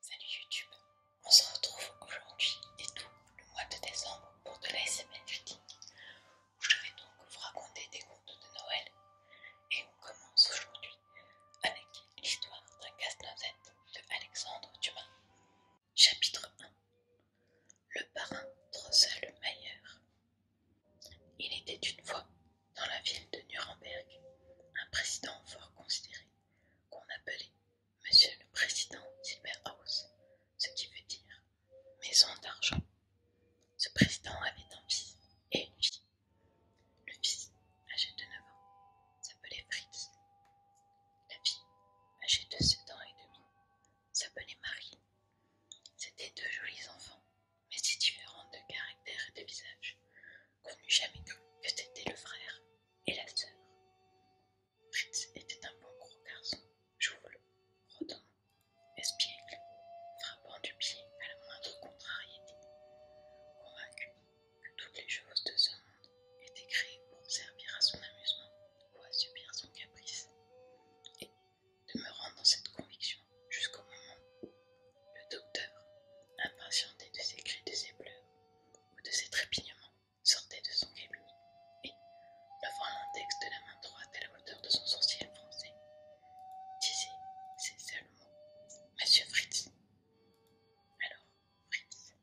Salut Youtube, on se retrouve aujourd'hui et tout le mois de décembre pour de SMN reading où je vais donc vous raconter des contes de Noël et on commence aujourd'hui avec l'histoire d'un casse-noisette de Alexandre Dumas. Chapitre 1 Le parrain le Mayer Il était une fois dans la ville de Nuremberg un président fort considéré qu'on appelait Monsieur le Président silberhaus ce qui veut dire maison d'argent. Ce président avait un fils et une fille. Le fils, âgé de 9 ans, s'appelait Fritz. La fille, âgée de 7 ans et demi, s'appelait Marie. C'étaient deux jolis enfants, mais si différents de caractère et de visage, qu'on n'eût jamais cru que c'était le frère et la sœur. Fritz était un bon gros garçon, jouvelot, rodin, espiègle, frappant du pied à la moindre contrariété, convaincu que toutes les choses de ce monde étaient créées pour servir à son amusement ou à subir son caprice, et demeurant dans cette conviction jusqu'au moment où le docteur, impatienté de ses cris de ses pleurs, de ses trépignements, sortait de son cabinet et, levant l'index de la main droite à la hauteur de son sourcil français, disait ces seuls mots Monsieur Fritz. Alors, Fritz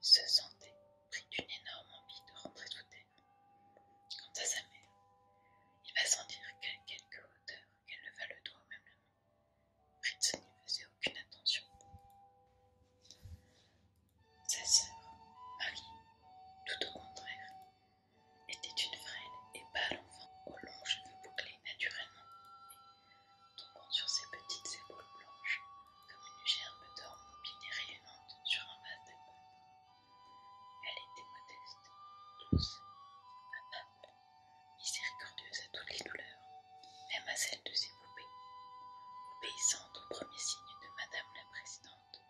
se sentait pris d'une énorme envie de rentrer tout elle. Quant à sa mère, il va sentir dire qu'à quelque hauteur, qu'elle leva le doigt même la Fritz n'y faisait aucune attention. Sa sœur, Marie, tout au contraire, était une frêle et pâle enfant, aux longs cheveux bouclés naturellement, et tombant sur ses petites épaules blanches comme une gerbe d'or mobile et rayonnante sur un vase de Elle était modeste, douce, amable, Miséricordieuse à toutes les douleurs, même à celle de ses poupées, obéissante aux premier signe de Madame la Présidente,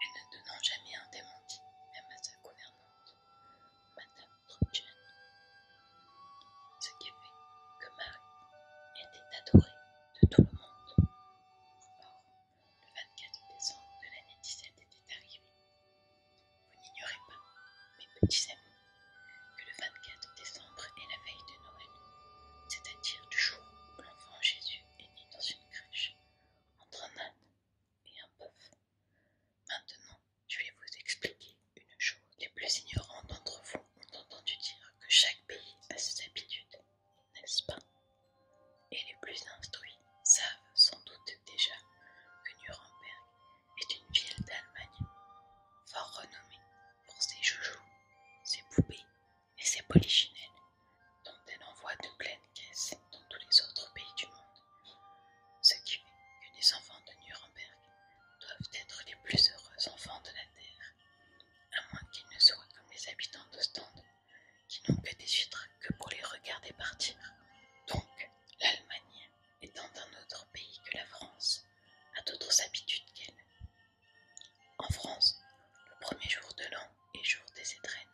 et ne donnant jamais un démenti, même à sa gouvernante, Madame Trudchen. Ce qui fait que Marie était adorée de tout le monde. le 24 décembre de l'année 17 était arrivé. Vous n'ignorez pas, mes petits amis, que le 24 décembre est la veille de Noël, c'est-à-dire du jour où l'enfant Jésus est né dans une crèche, entre un âne et un bœuf. Maintenant, je vais vous expliquer une chose. Les plus ignorants d'entre vous ont entendu dire que chaque pays a ses habitudes, n'est-ce pas Et les plus instruits savent sans doute déjà que Nuremberg est une ville d'Allemagne fort renommée pour ses joujoux, ses poupées et ses polichinelles, dont elle envoie de pleines caisses dans tous les autres pays du monde, ce qui fait que les enfants de Nuremberg doivent être les plus heureux enfants de la Terre, à moins qu'ils ne soient comme les habitants d'Ostende, qui n'ont que des vitres que pour les regarder partir. Donc, l'Allemagne étant un autre pays que la France, a d'autres habitudes qu'elle. En France, le premier jour de l'an est jour des étrennes,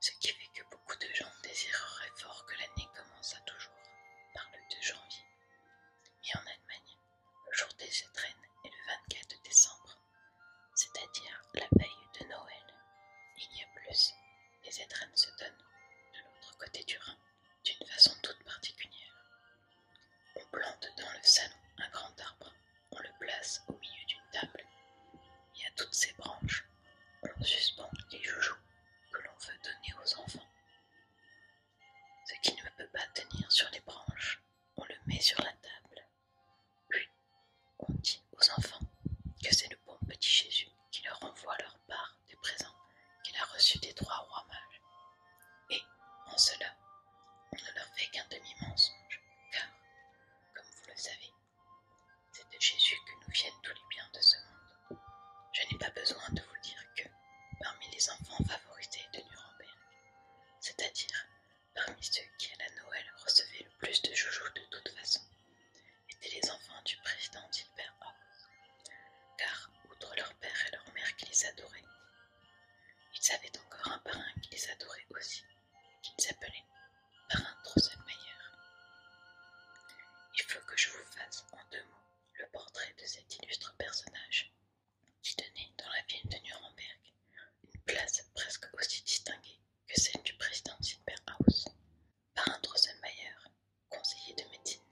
ce qui fait que beaucoup de gens désireraient fort que l'année commence à toujours par le 2 janvier. Mais en Allemagne, le jour des étrennes est le 24 décembre, c'est-à-dire la veille de Noël. Il y a plus, les étrennes se donnent de l'autre côté du Rhin d'une façon toute particulière. On plante dans le salon un grand arbre, on le place au milieu d'une table, et à toutes ses branches, on suspend les joujoux que l'on veut donner aux enfants. Ce qui ne peut pas tenir sur les branches, on le met sur la table. Puis, on dit aux enfants que c'est le bon petit Jésus qui leur envoie leur part des présents qu'il a reçus des trois rois mages. Et, en cela, on ne leur fait qu'un demi-mensonge, car, comme vous le savez, c'est de Jésus que nous viennent tous les biens de ce monde. Je n'ai pas besoin de vous dire que, parmi les enfants favorisés de Nuremberg, c'est-à-dire parmi ceux qui à la Noël recevaient le plus de joujoux de toute façon, étaient les enfants du président Gilbert Horst, car, outre leur père et leur mère qui les adoraient, ils avaient encore un parrain les adorait aussi, qu'ils s'appelait Parrain Drosselmayer. Il faut que je vous fasse en deux mots le portrait de cet illustre personnage, qui tenait dans la ville de Nuremberg une place presque aussi distinguée que celle du président Silberhaus. Parrain Drosselmayer, conseiller de médecine,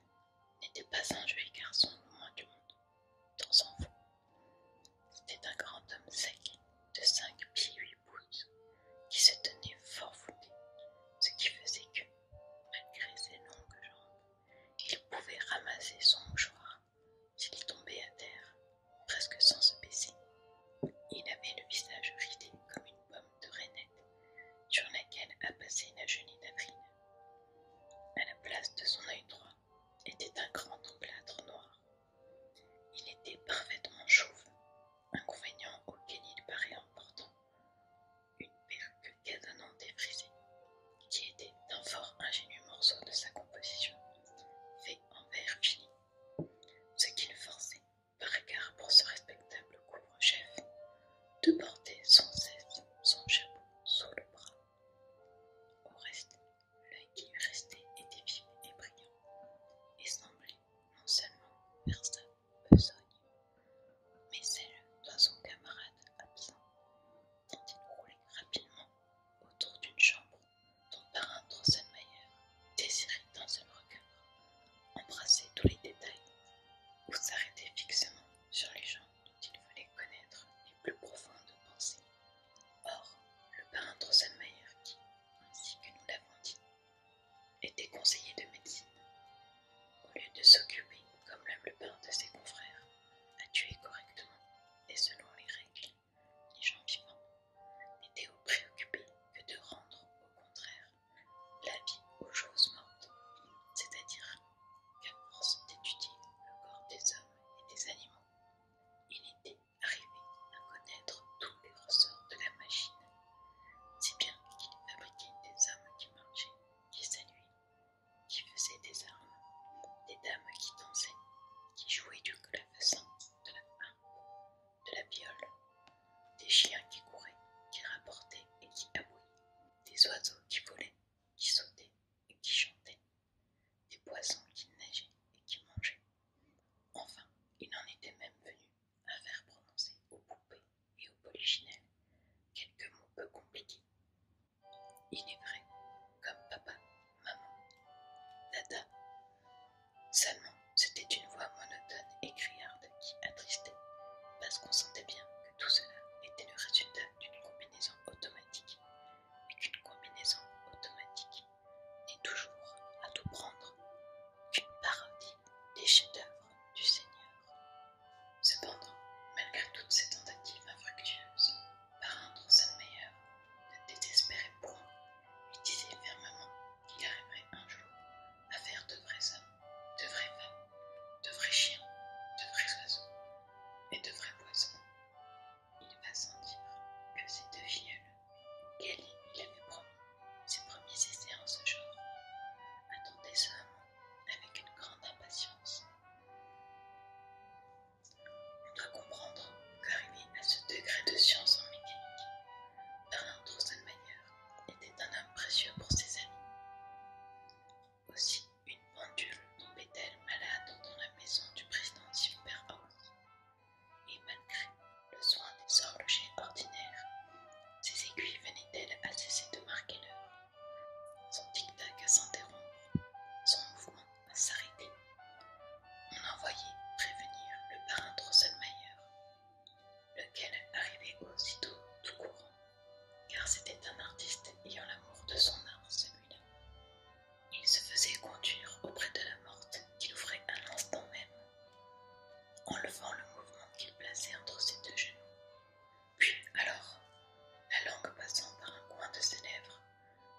n'était pas un joli garçon moins du monde, dans son fond. C'était un grand homme sec, de cinq pieds huit pouces, qui se tenait fort voûté, ce qui faisait que, malgré ses longues jambes, il pouvait ramasser son mouchoir s'il tombait à terre, presque sans se baisser. Il avait le visage ridé comme une pomme de rainette sur laquelle a passé la genouille d'avril, à la place de son œil droit était un grand emplâtre noir. Il était parfaitement chauve, inconvénient auquel il paraît important, une perle cadonnante et frisée, qui était un fort ingénieux morceau de sa composition, fait en verre fini, ce qui le forçait, par égard pour ce respectable couvre-chef, de porter sans cesse son chapeau sous le bras. Au reste, l'œil qui restait était vif et brillant, et semblait non seulement vers sa besogne, mais celle de son camarade absent, dont il roulait rapidement autour d'une chambre dont Parrain Drosselmayer désirait dans seul regard embrasser tous les détails, ou s'arrêter fixement sur les gens dont il voulait connaître les plus profondes pensées. Or, le peintre drosselmeier qui, ainsi que nous l'avons dit, était conseiller de médecine, au lieu de s'occuper, comme le père de ses confrères, à tuer correctement et selon les règles les gens vivants, n'était au préoccupé que de rendre, au contraire, la vie aux choses mortes, c'est-à-dire qu'à force d'étudier le corps des hommes et des animaux, il était arrivé à connaître tous les ressorts de la machine, si bien qu'il fabriquait des hommes qui marchaient, qui saluaient, qui faisaient des armes, des dames qui dansaient, qui jouaient du clavecin, de la harpe, de la viole, des chiens qui couraient, qui rapportaient et qui aboyaient, des oiseaux qui volaient, qui sautaient, et qui chantaient, des poissons qui neigeaient et qui mangeaient. Enfin, il en était même venu à faire prononcer aux poupées et aux polichinelles quelques mots peu compliqués. Il est vrai, comme papa, maman, dada. Seulement, c'était une voix monotone et criarde qui attristait, parce qu'on sentait bien que tout cela était le résultat d'une combinaison automatique mais qu'une combinaison automatique n'est toujours à tout prendre qu'une parodie des chefs-d'œuvre du Seigneur. Cependant, malgré toutes ces tentatives infructueuses, de Drosselmeyer ne désespérait point et disait fermement qu'il arriverait un jour à faire de vrais hommes, de vraies femmes, de vrais chiens, de vrais oiseaux et de vrais poissons. Il va sans dire que ces deux filleuls, qu'elle il avait promis ses premiers essais en ce genre, attendaient ce moment avec une grande impatience. On doit comprendre qu'arriver à ce degré de science en mécanique, Bernard manière était un homme précieux pour ses amis. Aussi, une pendule tombait-elle malade dans la maison du président Superhouse. Et malgré le soin des horlogers ordinaires, ses aiguilles venaient-elles à cesser de marquer l'heure, son tic-tac à s'interrompre, son mouvement à s'arrêter. On envoyait prévenir le parrain Drosselmayer, lequel arrivait aussitôt tout courant, car c'était un artiste ayant l'amour de son art il se faisait conduire auprès de la morte qu'il ouvrait à l'instant même, enlevant le mouvement qu'il plaçait entre ses deux genoux. Puis alors, la langue passant par un coin de ses lèvres,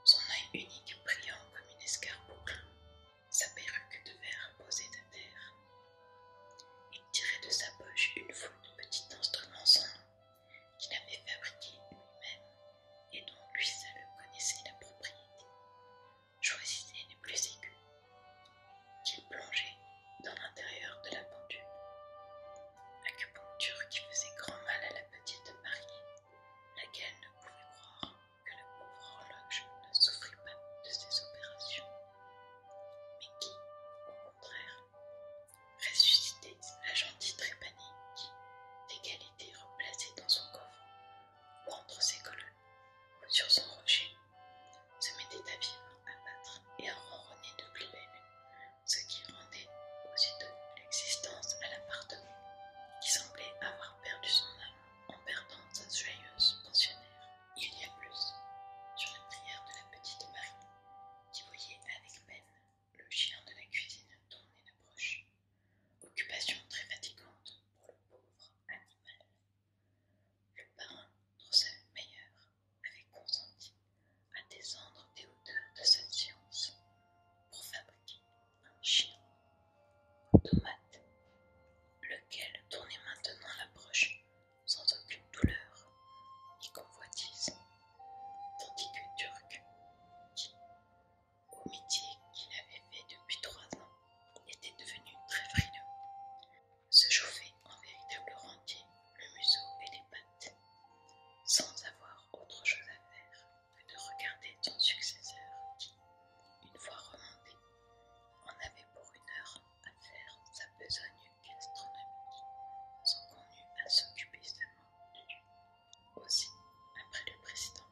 son œil unique brillant comme une escarboucle, sa perruque de verre posée de terre. Il tirait de sa poche une foule de petits instruments sans qu'il avait fabriqué lui-même et dont lui seul connaissait la propriété, choisissait les plus aigus, qu'il plongeait dans l'intérieur de la pendule. Acupuncture qui faisait grand mal à la petite mariée, laquelle ne pouvait croire que le pauvre horloge ne souffrit pas de ses opérations, mais qui, au contraire, Ressuscité, la gentille panique qui, était replacée dans son coffre, ou entre ses colonnes, ou sur son rocher, se mettait à vivre, à battre et à ronronner de plus ce qui rendait aussitôt l'existence à l'appartement, qui semblait avoir perdu son âme en perdant sa joyeuse pensionnaire. Il y a plus, sur la prière de la petite Marie, qui voyait avec peine le chien de la cuisine tournait broche, Occupation très fatigante pour le pauvre animal. Le parrain meilleure, avait consenti à descendre des hauteurs de cette science pour fabriquer un chien tomate, lequel tournait maintenant l'approche sans aucune douleur ni convoitise tandis que Turc, qui, au métier qu'il avait fait depuis trois ans, était devenu très frileux, se chauffait en véritable rentier le museau et les pattes, sans avoir autre chose à faire que de regarder son successeur qui, une fois remonté, en avait pour une heure à faire sa besogne gastronomique, sans qu'on eût à s'occuper seulement de lui. Aussi, après le président,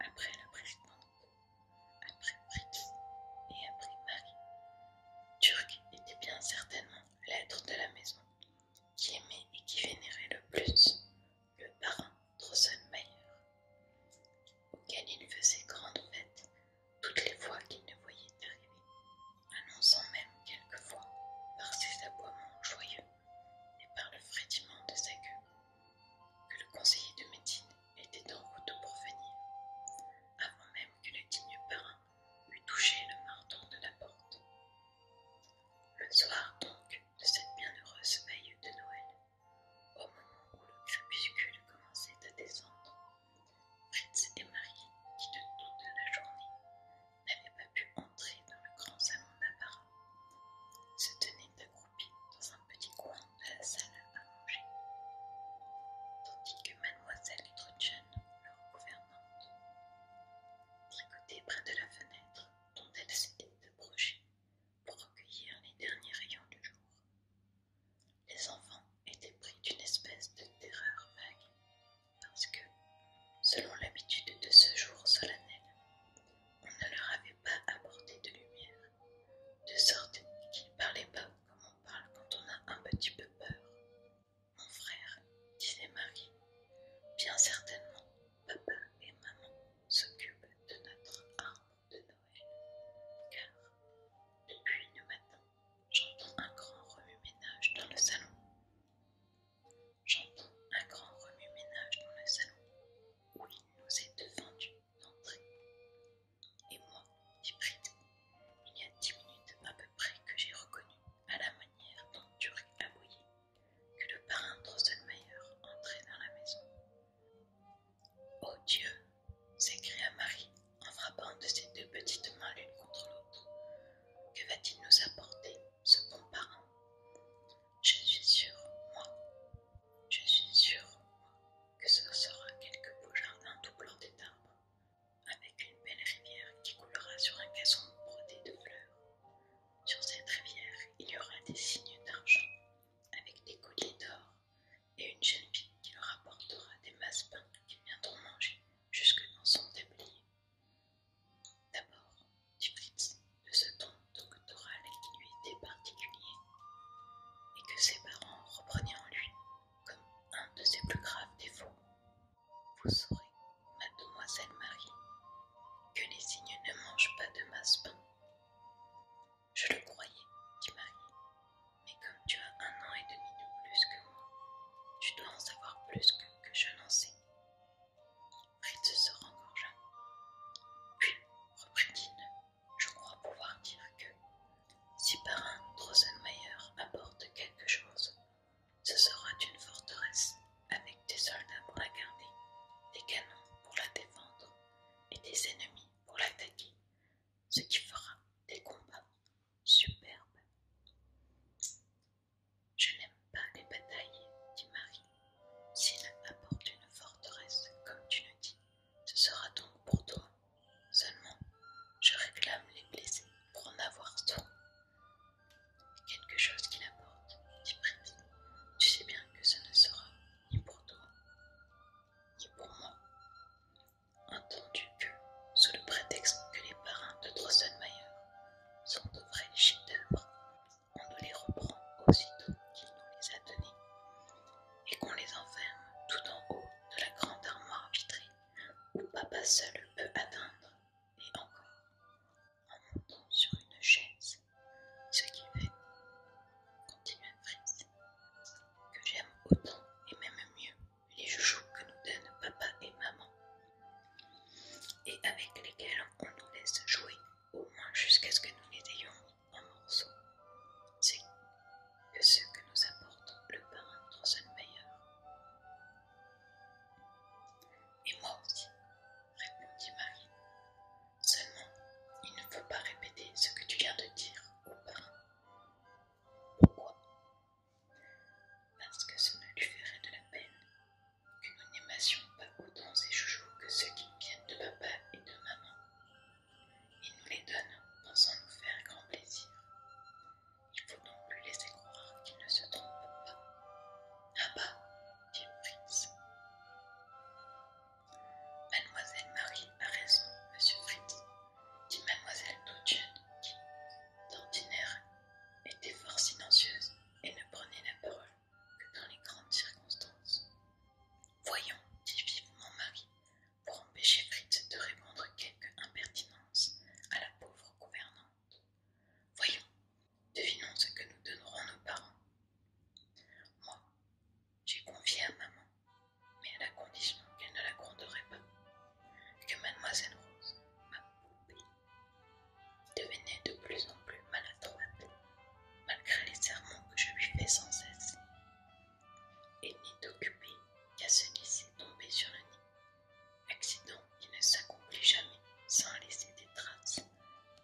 après la présidente, après Fritz et après Marie, Turc était bien certainement l'être de la maison qui aimait et qui vénérait le plus le parrain Drosselmayer, auquel il faisait grande fête toutes les fois qu'il ne voyait arriver, annonçant même quelquefois par ses aboiements joyeux et par le frédiment de sa queue, que le conseiller de médecine était en route pour venir, avant même que le digne parrain eût touché le marteau de la porte. Le soir donc de cette bienheureuse veille de Noël, au moment où le crépuscule commençait à descendre, Fritz et Marie, qui de toute la journée n'avait pas pu entrer dans le grand salon d'apparat, se tenait accroupie dans un petit coin de la salle à manger, tandis que mademoiselle Trudchen, leur gouvernante, tricotait près de la fenêtre dont elle s'était approchée pour recueillir les derniers rayons du jour. Les enfants étaient pris d'une espèce de terreur vague parce que, selon l'habitude de ce jour solennel, on ne leur avait pas apporté de lumière, de sorte qu'ils ne parlaient pas comme on parle quand on a un petit peu peur. Mon frère, disait Marie, bien certainement, papa et maman s'occupent de notre arbre de Noël, car depuis le matin, j'entends un grand remue-ménage dans le salon j'entends un grand remue-ménage dans le salon où il nous est vendu d'entrer. Et moi, dit prie, il y a dix minutes à peu près que j'ai reconnu, à la manière dont Turc voyé, que le parrain Drosselmayer entrait dans la maison. Oh Dieu! s'écria Marie en frappant de ses deux petites mains l'une contre l'autre. Que va-t-il nous apporter ce bon parent, Je suis sûre, moi, je suis sûre, que ce sera quelque beau jardin tout des d'arbres, avec une belle rivière qui coulera sur un gazon brodé de fleurs. Sur cette rivière, il y aura des signes d'argent, avec des colliers d'or, et une jeune fille qui leur apportera des massepains qu'ils viendront manger jusque dans son tablier. D'abord, du Fritz de ce ton doctoral qui lui était particulier, et que ses parents reprenaient en lui comme un de ses plus graves défauts. Vous saurez, mademoiselle Marie, que les cygnes ne mangent pas de masse Je le croyais, dit Marie, mais comme tu as un an et demi de plus que moi, tu dois en savoir plus que je n'en sais se rengorgea. Puis, reprit-il, je crois pouvoir dire que, si un Drossenmeier apporte quelque chose, ce sera une forteresse avec des soldats pour la garder, des canons pour la défendre et des ennemis pour l'attaquer, ce qui fera des combats superbes. Je n'aime pas les batailles, dit Marie. S'il apporte une forteresse, comme tu le dis, ce sera donc pour toi. Seulement, je réclame les blessés pour en avoir soin. Quelque chose qu'il apporte, dit Pretty, Tu sais bien que ce ne sera ni pour toi, ni pour moi. Entendu que, sous le prétexte que les parrains de Drosselmayer sont de vrais chefs d'œuvre, on nous les reprend aussitôt qu'il nous les a donnés, et qu'on les enferme tout en haut de la grande armoire vitrée où papa seul peut atteindre, et encore, en montant sur une chaise, ce qui fait, continua Fritz, que j'aime autant et même mieux les joujoux que nous donnent papa et maman et avec lesquels on nous laisse jouer au moins jusqu'à ce que nous les ayons en morceaux. C'est que ce que nous apporte le parrain meilleur. — Et moi aussi, répondit Marie. Seulement, il ne faut pas répéter ce que tu viens de dire au parrain. Pourquoi Parce que cela ne lui ferait de la peine que nous animation pas autant ces chouchous que ceux qui viennent de papa et de maman. Il nous les donne, pensant nous faire grand plaisir. Il faut donc lui laisser croire qu'il ne se trompe pas. Ah bah, dit Fritz. Mademoiselle Marie a raison, monsieur Fritz, dit mademoiselle Dudgeon, qui, d'ordinaire, était fort silencieuse et ne prenait la parole que dans les grandes circonstances. Voyons, dit vivement Marie, pour empêcher Fritz de répondre quelque impertinence à la pauvre gouvernante. Voyons, devinons ce que nous donnerons nos parents. Moi, j'ai confié à maman, mais à la condition qu'elle ne la gronderait pas, que mademoiselle Rose, ma devenait de plus en plus maladroite, malgré les serments que je lui fais sans cesse, et n'est occupée qu'à se laisser tomber sur le nid, accident qui ne s'accomplit jamais sans laisser des traces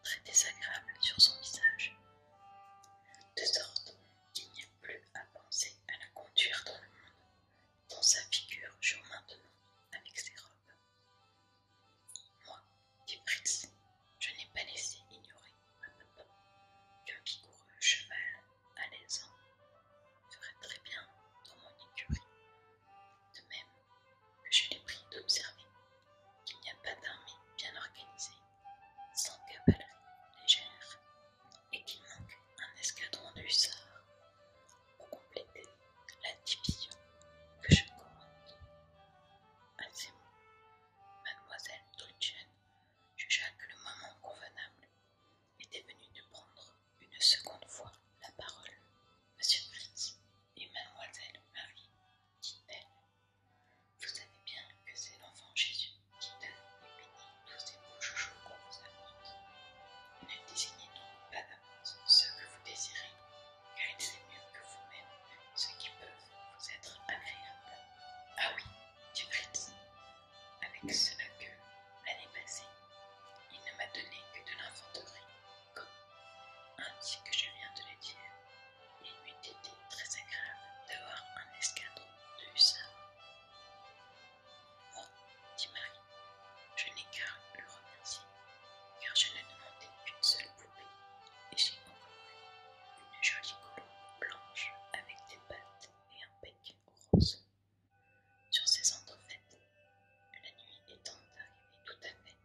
très désagréables sur son visage, de sorte qu'il n'y a plus à penser à la conduire dans le monde, dans sa figure joue maintenant avec ses robes. Moi, dit je n'ai pas laissé ignorer à papa qu'un vigoureux cheval l'aisant hein. ferait très bien dans mon écurie, de même que je l'ai pris d'observer qu'il n'y a pas d'armée bien organisée sans cavalerie légère et qu'il manque un escadron de hussards pour compléter la division que je commande. À mademoiselle Trudchen jugea que le moment convenable était venu de prendre une seconde fois la parole. Monsieur Fritz et mademoiselle Marie, dit-elle, vous savez bien que c'est l'enfant Jésus qui donne et bénit tous ces beaux joujoux qu'on vous apporte. Ne désignez donc pas ce ce que vous désirez car il sait mieux que vous-même ce qui peut vous être agréable. Ah oui, dit Fritz, avec cela que, l'année passée, il ne m'a donné que de l'infanterie, comme, ainsi que je viens de le dire, il m'eût été très agréable d'avoir un escadron de hussards. Moi, dit Marie, je n'ai qu'à le remercier car je ne demandais qu'une seule poupée, et j'ai encore une jolie colombe blanche avec des pattes et un bec rose. Sur ces entrefaites, la nuit étant arrivée tout à fait,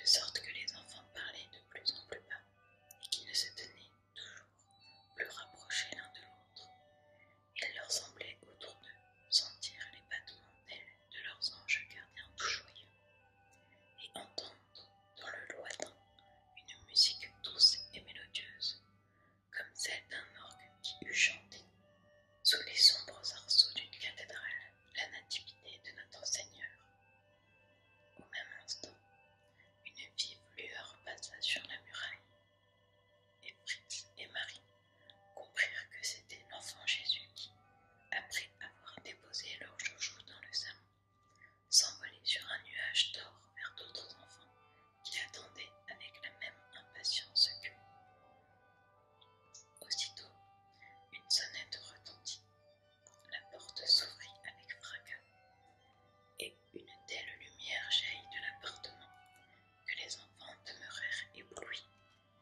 de sorte que les enfants parlaient de plus en plus bas et qu'ils ne se tenaient toujours plus rapprochés l'un de l'autre. Il leur semblait autour d'eux sentir les battements d'ailes de leurs anges gardiens tout joyeux et entendre dans le lointain une musique douce et mélodieuse, comme celle d'un orgue qui eût chanté sous les sombres arceaux d'une cathédrale la nativité de notre Seigneur. Au même instant, une vive lueur passa sur la muraille, et Fritz et Marie comprirent que c'était l'enfant Jésus qui, après avoir déposé leurs joujoux dans le salon, s'envoler sur un nuage d'or vers d'autres enfants qui l'attendaient avec la même impatience que. Aussitôt, une sonnette retentit, la porte s'ouvrit avec fracas, et une telle lumière jaillit de l'appartement que les enfants demeurèrent éblouis,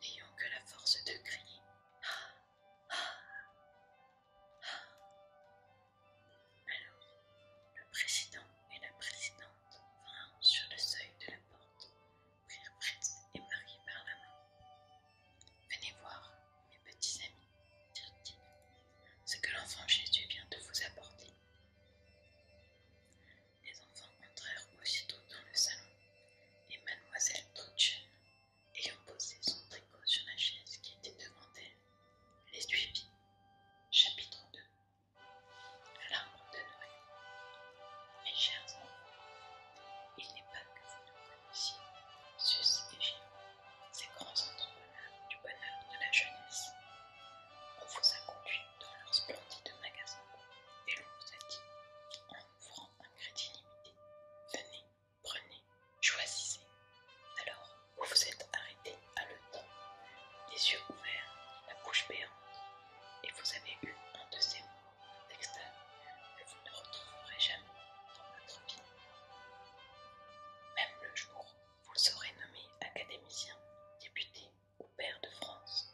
n'ayant que la force de crier ah alors, le président et la présidente vinrent sur le seuil de la porte, prirent Fritz et Marie par la main. Venez voir, mes petits amis, dirent-ils, ce que l'enfant Jésus vient de vous apporter. Les enfants entrèrent aussitôt dans le salon, et mademoiselle Trotchen ayant posé son tricot sur la chaise qui était devant elle, les suivit. Chapitre 2 L'arbre de Noël Mes chers amis, il n'est pas que vous ne connaissiez Sus et Gino, ces grands entrepreneurs du bonheur de la jeunesse. On vous a conduit dans leur splendide magasin et l'on vous a dit, francs un crédit limité. Venez, prenez, choisissez. Alors, vous vous êtes arrêté à le temps, les yeux ouverts, la bouche béante, et vous avez eu un de ces mots que vous ne retrouverez jamais dans votre vie. Même le jour où vous serez nommé académicien, député ou père de France,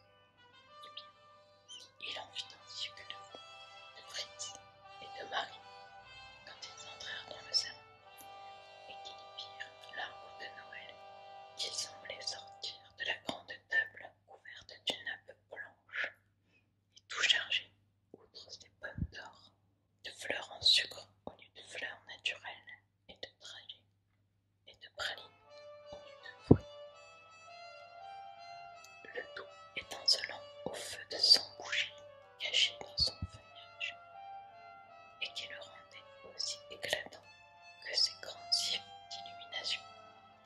eh il en vit ainsi que de vous, de Fritz et de Marie, quand ils entrèrent dans le salon, et qu'ils virent l'arbre de Noël, qui semblait sortir de la grande table couverte d'une nappe blanche, et tout chargé, outre des pommes d'or, de fleurs en sucre au lieu de fleurs naturelles, et de trajets, et de pralines au lieu de fruits, le tout étincelant au feu de cent bougies caché dans son feuillage, et qui le rendait aussi éclatant que ces grands yeux d'illumination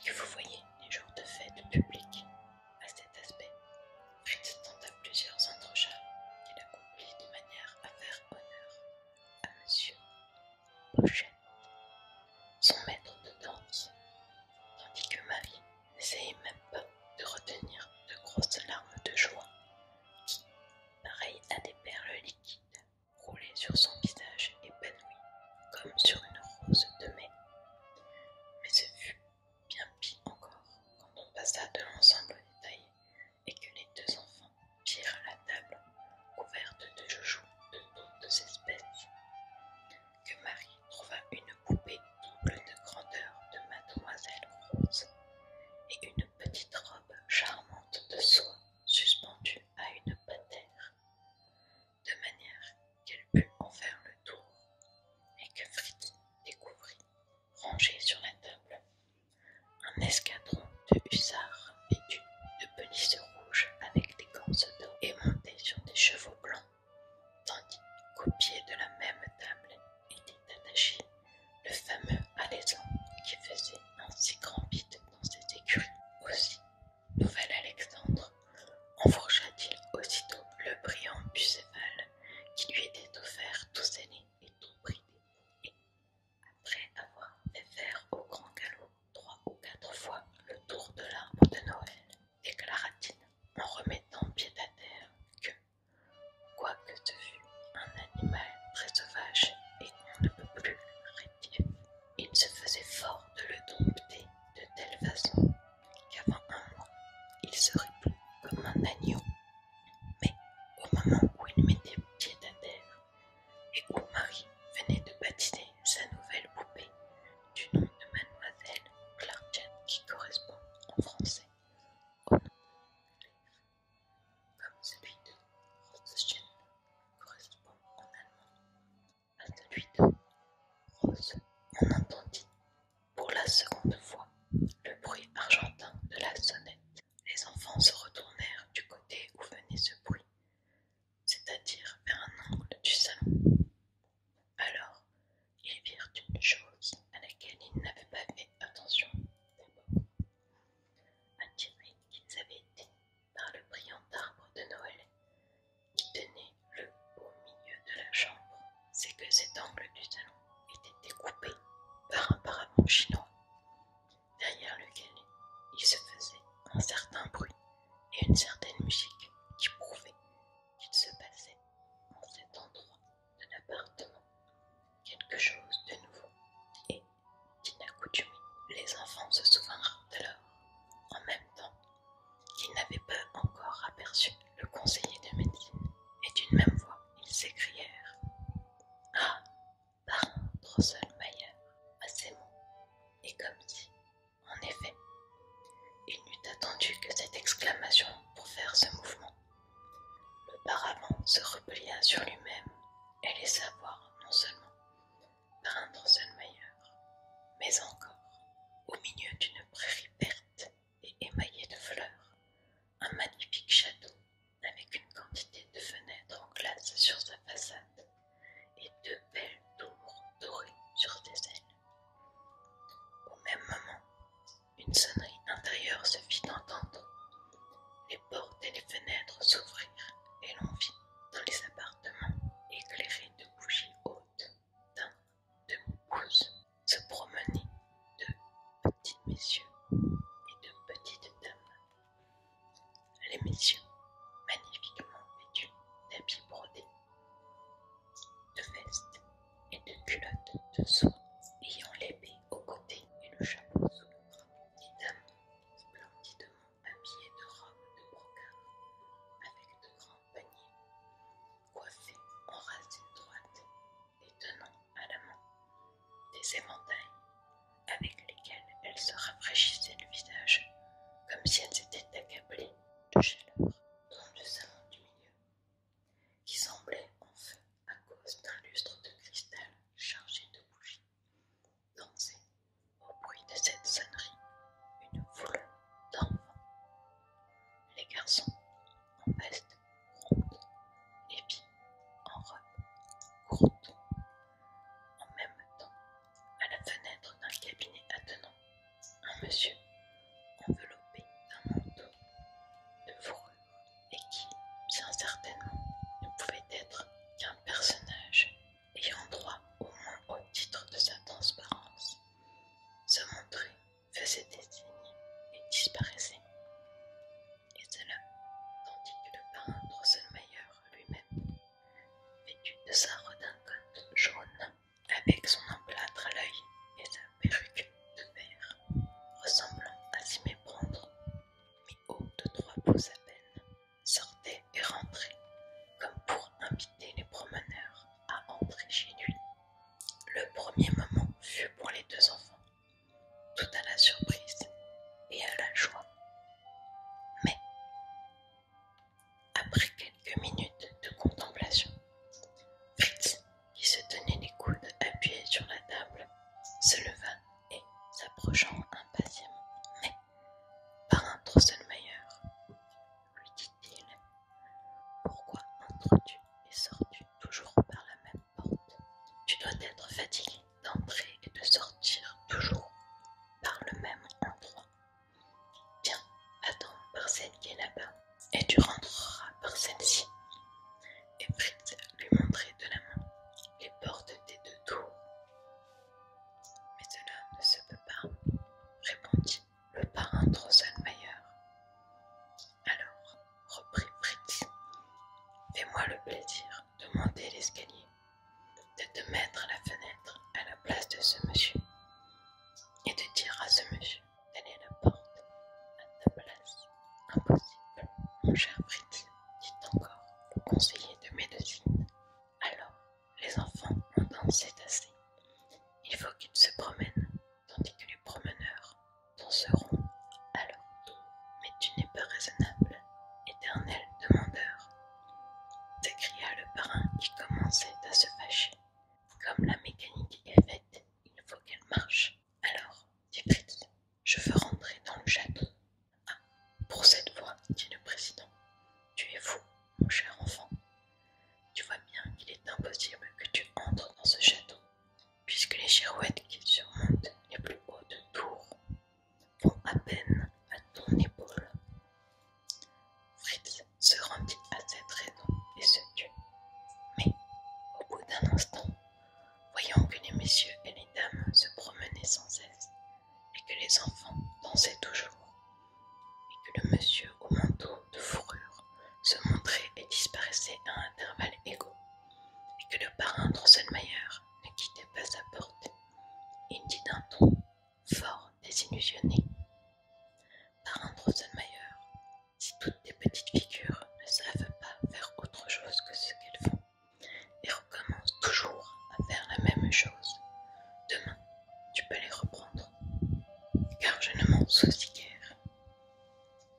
que vous voyez les jours de fête publique. À cet aspect, Fritz à plusieurs entrechats qu'il accomplit de manière à faire honneur à Monsieur Pochette, son maître de danse, tandis que Marie n'essayait même pas de retenir de grosses larmes de joie qui, pareilles à des perles liquides, roulaient sur son visage épanoui comme sur une rose de mai. Mais ce fut bien pis encore quand on passa de l'ensemble au détail et que les deux enfants virent la table couverte de joujoux de toutes espèces que Marie trouva une poupée double de grandeur de mademoiselle Rose et une petite robe charmante de soie suspendue à une patère, de manière qu'elle put en faire le tour et que Fritz découvrit, rangée sur la table, un escadron de hussards vêtus de pelisse rouges avec des de d'eau et montés sur des chevaux blancs tandis qu'au pied de la même table était attaché le fameux alezan qui faisait un si grand vide dans ses écuries. Aussi, nouvel Alexandre enfourcha-t-il aussitôt le brillant Bucéval qui lui était offert tout scellé et tout bridé, et, après avoir fait faire au grand galop trois ou quatre fois le tour de l'arbre de Noël, déclara-t-il en remettant pied à terre que, quoique ce fût un animal très sauvage et qu'on ne peut plus rétif, il se faisait fort de le dompter de telle façon qu'avant un mois, il serait plus comme un agneau. Mais au moment où il mettait pied à terre et où Marie venait de baptiser sa nouvelle poupée, du nom de Mademoiselle Clarken qui correspond en français au nom de comme de correspond en allemand à celui de Rose. On entendit pour la seconde fois le bruit argentin de la sonnette. Les enfants se retournèrent du côté où venait ce bruit, c'est-à-dire vers un angle du salon. Alors, ils virent une chose à laquelle ils n'avaient pas fait attention d'abord. Attirés qu'ils avaient été par le brillant arbre de Noël qui tenait le au milieu de la chambre, c'est que cet angle du salon était découpé par un parapluie chinois, derrière lequel il se faisait un certain bruit et une certaine musique qui prouvait qu'il se passait en cet endroit de l'appartement quelque chose de nouveau, et, d'inaccoutumé, les enfants se souvinrent alors, en même temps, qu'ils n'avaient pas encore aperçu le conseiller de médecine, et d'une même voix, ils s'écrièrent Ah, parrain Drosselmayer, à ces mots, et comme si en effet, il n'eût attendu que cette exclamation pour faire ce mouvement. Le paravent se replia sur lui-même et laissa voir non seulement un Drosselmayer, mais encore, au milieu d'une prairie verte et émaillée de fleurs, un magnifique château avec une quantité de fenêtres en glace sur sa façade et deux belles tours dorées sur ses ailes. Au même moment, une sonnerie intérieure se fit entendre. Les portes et les fenêtres s'ouvrirent et l'on vit dans les appartements éclairés de bougies hautes d'un de pouce se promener de petits messieurs et de petites dames. Les messieurs, magnifiquement vêtus d'habits brodés, de veste et de culotte de soie, ayant l'épée au côté et le chapeau sous le bras. Des dames splendidement habillées de robes de brocart, avec de grands paniers, coiffées en racines droites et tenant à la main des éventails avec lesquels elles se rafraîchissaient le visage, comme si elles étaient accablées de chaleur. Dans le salon du milieu, qui semblait en feu à cause d'un lustre de cristal chargé de bougies. Dansait, au bruit de cette sonnerie, une foule d'enfants. Les garçons, en veste ronde, les filles, en robe courte. En même temps, à la fenêtre d'un cabinet attenant un monsieur enveloppé d'un manteau de fourrure et qui, bien certainement, ne pouvait être qu'un personnage ayant droit au moins au titre de sa transparence, se montrait, faisait des signes et disparaissait. Et cela tandis que le peintre Drosselmayer lui-même, vêtu de sa redingote jaune, avec son emplâtre à l'œil et sa perruque de verre, ressemblant à s'y méprendre, mais haut de trois pouces à peine, sortait et rentrait, comme pour inviter les promeneurs à entrer chez lui. Le premier moment fut pour les deux enfants, tout à la surprise et à la joie. Mais, après quelques minutes de contemplation, Fritz qui se tenait les coudes appuyés sur la table, se leva et, s'approchant impatiemment, mais par un meilleur, lui dit-il Pourquoi entres-tu et sors-tu toujours par la même porte Tu dois être fatigué d'entrer et de sortir toujours par le même endroit. Viens, attends par celle qui est là-bas et tu rentreras par celle-ci. Et Fritz lui montrait de la main les portes des deux tours. Mais cela ne se peut pas, répondit le parrain Drosselmayer. Alors, reprit Fritz, fais-moi le plaisir de monter l'escalier, de te mettre à la fenêtre à la place de ce monsieur, et de dire à ce monsieur Tenez la porte. À ta place, impossible. Mon cher prêtre. dit encore le conseiller de médecine. Alors, les enfants ont dansé assez. Il faut qu'ils se promènent, tandis que les promeneurs danseront alors, Mais tu n'es pas raisonnable, éternel demandeur, s'écria le parrain qui commençait à se fâcher. Comme la mécanique est faite, il faut qu'elle marche. Alors, dit Fritz, je veux rentrer dans le château. Ah, pour cette fois, dit le président, tu es fou, mon cher enfant. Tu vois bien qu'il est impossible que tu entres dans ce château, puisque les girouettes qui surmontent les plus hautes tours vont à peine à ton épaule. Fritz se rendit à cette raison et se tut. Mais, au bout d'un instant, voyant que les messieurs et les dames se promenaient sans cesse, et que les enfants dansaient toujours, et que le monsieur au manteau de fourrure se montrait et disparaissait à intervalles égaux, et que le parrain Drosselmayer ne quittait pas sa porte, il dit d'un ton fort désillusionné Parrain si toutes tes petites figures ne savent pas faire autre chose que ce qu'elles font et recommencent toujours à faire la même chose, demain tu peux les reprendre, car je ne m'en soucie guère.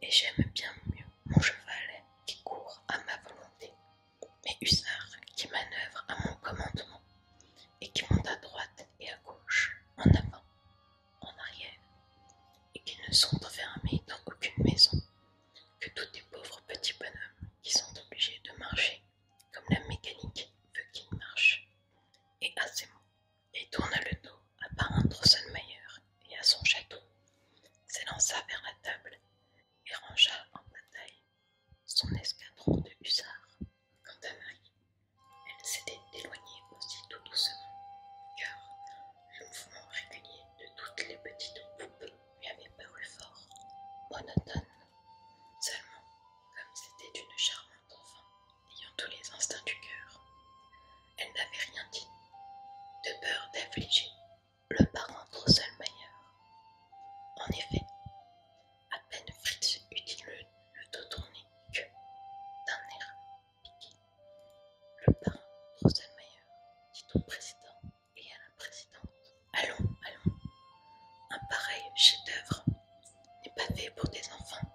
Et j'aime bien mieux mon cheval qui court à ma volonté, mes hussards qui manœuvrent à mon commandement et qui montent à droite et à gauche, en avant en arrière, et qu'ils ne sont enfermés dans aucune maison, que tous les pauvres petits bonhommes qui sont obligés de marcher, comme la mécanique veut qu'ils marchent. Et à ces mots, il tourna le dos à Parrain Drosselmayer et à son château, s'élança vers la table et rangea en bataille son escadron de hussards. Quant à elle s'était éloignée aussi tout doucement, car le mouvement régulier de toutes les petites poupes lui avait paru fort, monotone. Seulement, comme c'était une charmante enfant, ayant tous les instincts du cœur, elle n'avait rien dit, de peur d'affliger le parent seul Drosselmayer. En effet, à peine Fritz eut-il le, le dos tourné que, d'un air le parrain, Drosselmayer, dit au président et à la présidente. Allons, allons. Un pareil chef-d'œuvre n'est pas fait pour des enfants.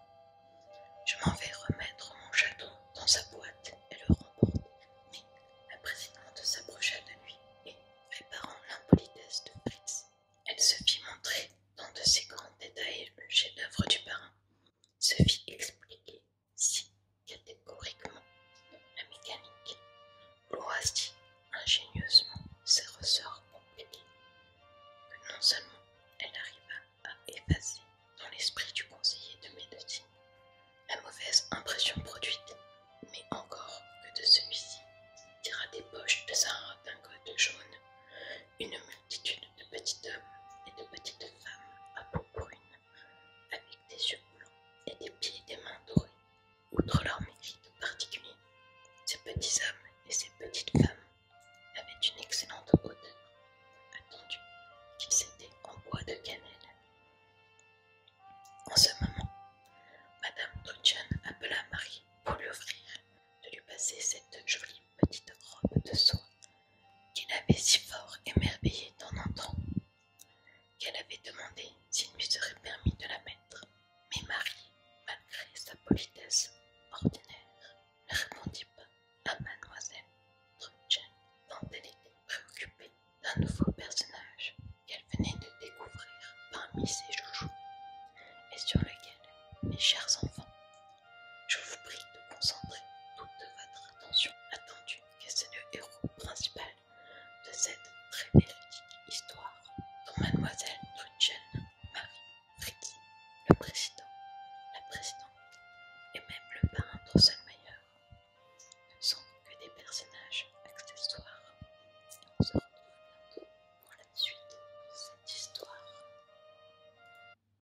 Je m'en vais remettre mon château dans sa boîte et le remporter. Mais la présidente s'approcha de lui et, réparant l'impolitesse de Fritz, elle se fit montrer dans de ses grands détails le chef-d'œuvre du parrain se fit expliquer si catégoriquement la mécanique. si ingénieusement ses ressorts compliqués, que non seulement elle arriva à effacer dans l'esprit du conseiller de médecine la mauvaise impression produite, mais encore que de celui-ci tira des poches de sa redingote jaune une multitude de petits hommes et de petites femmes à peau brune, avec des yeux blancs et des pieds et des mains dorés. Outre leur mérite particulier, ces petits hommes et ces petites femmes avaient une excellente odeur, attendu qu'ils étaient en bois de cannelle. En ce moment, Madame Dodgen appela Marie pour lui offrir de lui passer cette jolie petite robe de soie qu'il avait si fort émerveillé en entrant, qu'elle avait demandé s'il lui serait permis de la mettre. Mais Marie, malgré sa politesse ordinaire, ne répondit pas à mademoiselle Trudchen, tant elle était préoccupée d'un nouveau personnage qu'elle venait de découvrir parmi ses joujoux, et sur lequel, mes chers enfants, je vous prie de concentrer toute votre attention attendue, que c'est le héros principal de cette très belle histoire, dont Mademoiselle Trudchen, Marie Ricky, le président, la présidente et même le peintre Drosselmayer ne sont que des personnages accessoires. Et on se retrouve bientôt pour la suite de cette histoire.